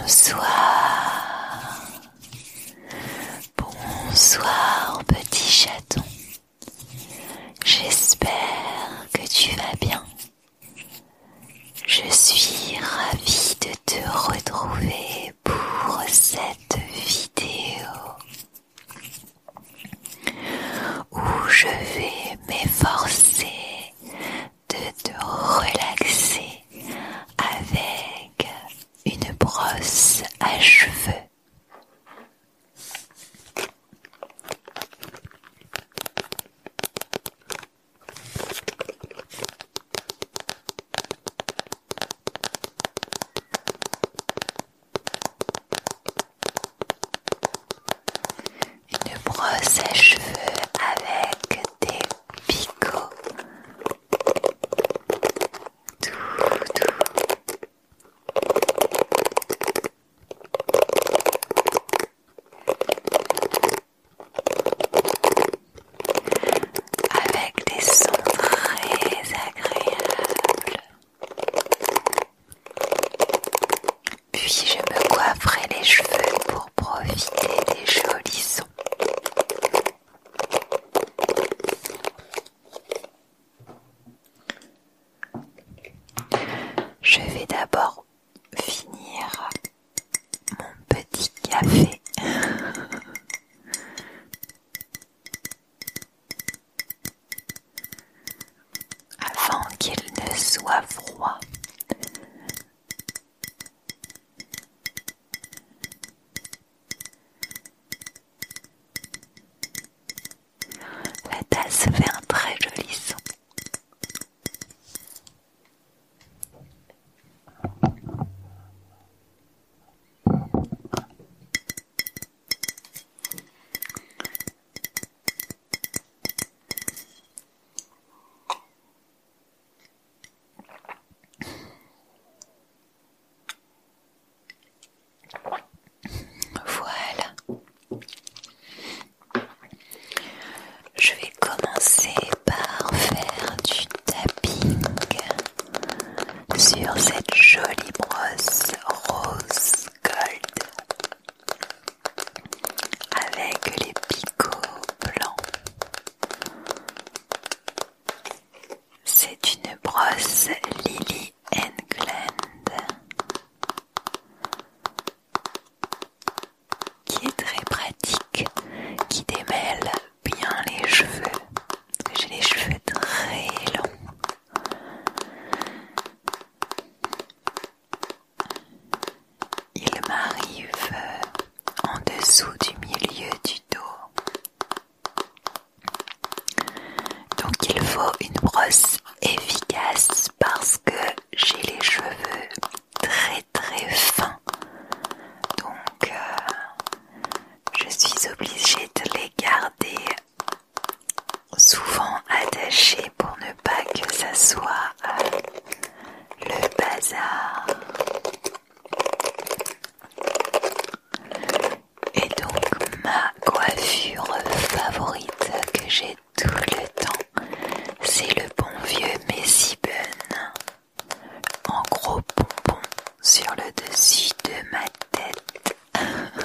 Bonsoir. Bonsoir petit chaton. J'espère que tu vas bien. Je suis ravie de te retrouver pour cette vidéo où je vais m'efforcer de te relaxer avec une brosse à cheveux. Une brosse à cheveux avec des picots. Avec des sons très agréables. Puis je me coifferai les cheveux pour profiter des jolis sons. Je vais d'abord finir mon petit café avant qu'il ne soit froid. La tasse fait un très joli son. Voilà. Je vais commencer par faire du tapping sur cette jolie brosse rose gold avec les picots blancs. C'est une brosse Lily England qui est très pratique, qui démêle bien les cheveux. J'ai les cheveux très longs. Il m'arrive en dessous du milieu du dos. Donc il faut une brosse efficace parce que j'ai les cheveux très très fins. Donc euh, je suis obligée de les garder souvent attaché pour ne pas que ça soit euh, le bazar. Et donc ma coiffure favorite que j'ai tout le temps, c'est le bon vieux Messi Bun en gros bonbon sur le dessus de ma tête.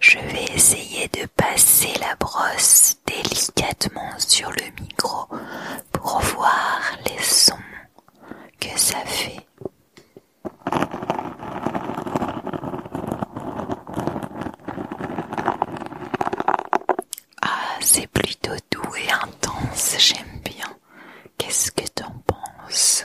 Je vais essayer de passer la brosse délicatement sur le micro pour voir les sons que ça fait. Ah, c'est plutôt doux et intense, j'aime bien. Qu'est-ce que t'en penses?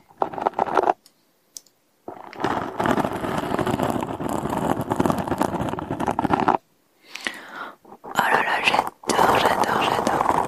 Oh là là, j'adore, j'adore, j'adore.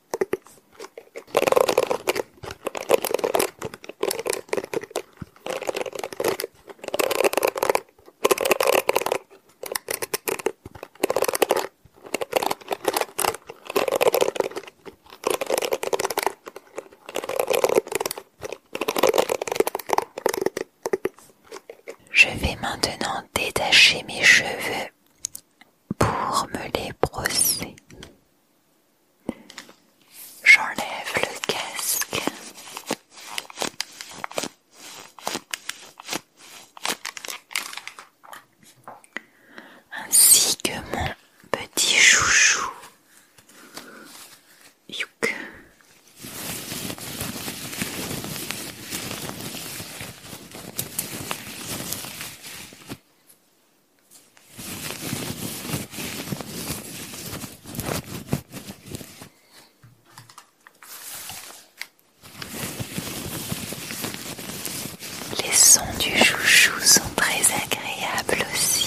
Je vais maintenant détacher mes cheveux pour me les brosser. J'enlève le casque. Ainsi que mon petit chouchou. Les sons du chouchou sont très agréables aussi.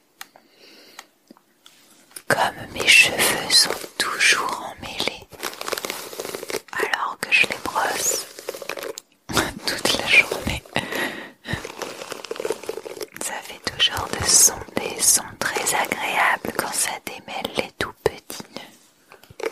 Comme mes cheveux sont toujours emmêlés alors que je les brosse toute la journée, ça fait toujours de des sons très agréables quand ça démêle les tout petits nœuds.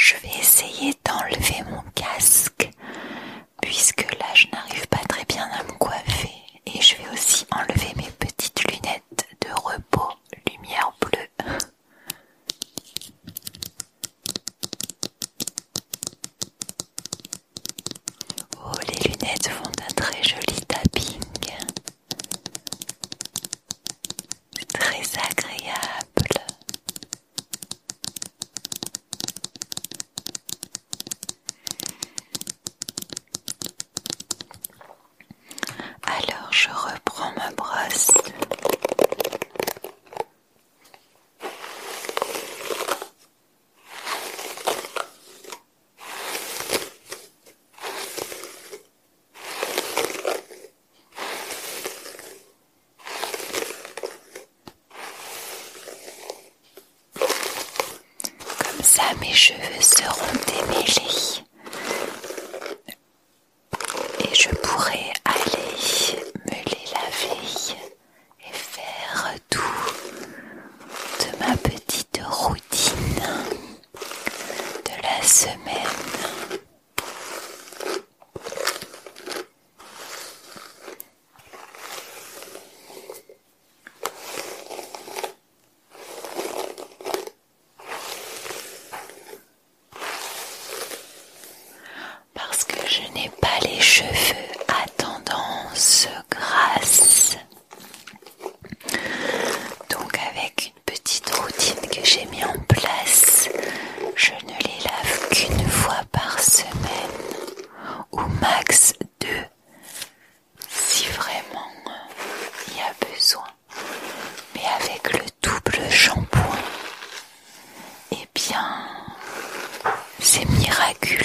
Je vais essayer d'enlever mon casque puisque là je n'arrive pas très bien à me coiffer et je vais aussi enlever mes petites lunettes de repos lumière bleue. Oh, les lunettes font un très joli tapping. Très agréable. Alors je reprends ma brosse. Comme ça, mes cheveux seront démêlés et je pourrais aller me les laver et faire tout de ma petite routine de la semaine. Parce que je n'ai pas les cheveux à tendance grasse. Donc avec une petite routine que j'ai mis en place, je ne les lave qu'une fois par semaine ou max deux si vraiment euh, il y a besoin mais avec le double shampoing, eh bien, c'est miraculeux.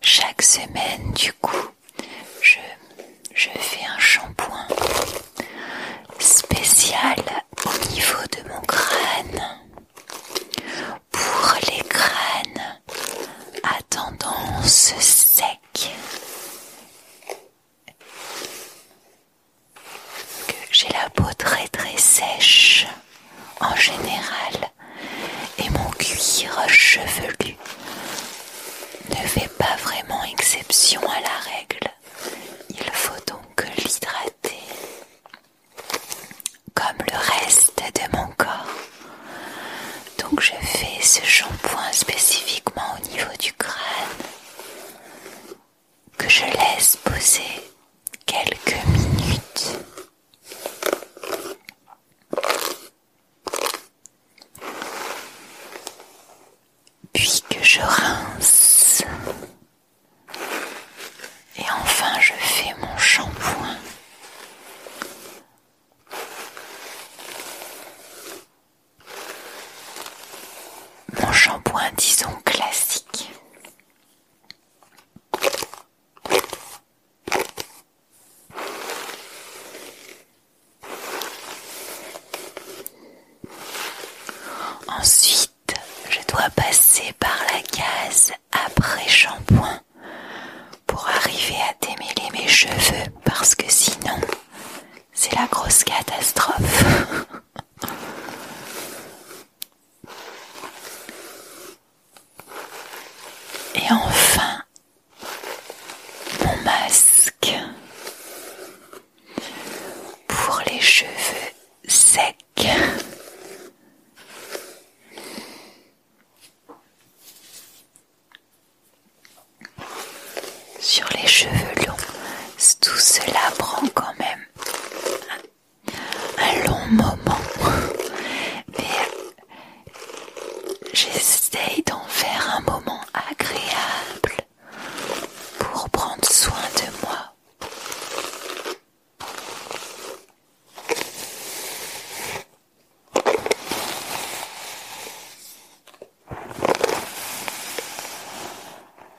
Chaque semaine, du coup, je, fais un shampoing spécial au niveau de mon crâne pour les crânes à tendance sec. Que J'ai la peau très très sèche en général et mon cuir chevelu ne fait pas vraiment exception à la règle. Il faut donc l'hydrater comme le reste de mon corps. Donc je fais ce shampoing spécifiquement au niveau du crâne que je laisse poser quelques minutes. Puis que je rince. Et enfin je fais mon shampoing. Mon shampoing disons classique. Ensuite, je dois passer par la case après shampoing pour arriver à démêler mes cheveux parce que sinon c'est la grosse catastrophe. Et enfin, mon masque pour les cheveux secs. Sur les cheveux longs, tout cela prend quand même un long moment, mais j'essaye d'en faire un moment agréable pour prendre soin de moi.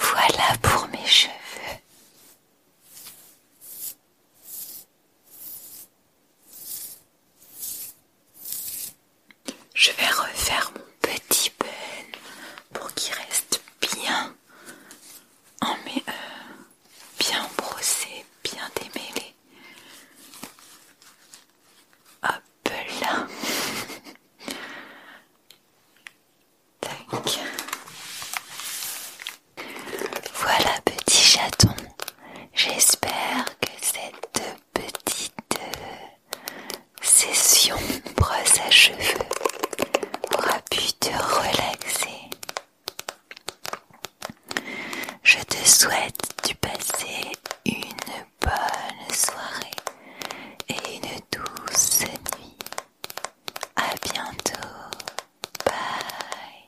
Voilà pour mes cheveux. Je vais refaire mon petit bun pour qu'il reste bien en mes, heures bien brossé, bien démêlé. Hop là. Voilà petit chaton. J'espère que cette petite euh, session brosse à cheveux aura pu te relaxer je te souhaite du passer une bonne soirée et une douce nuit. À bientôt. Bye.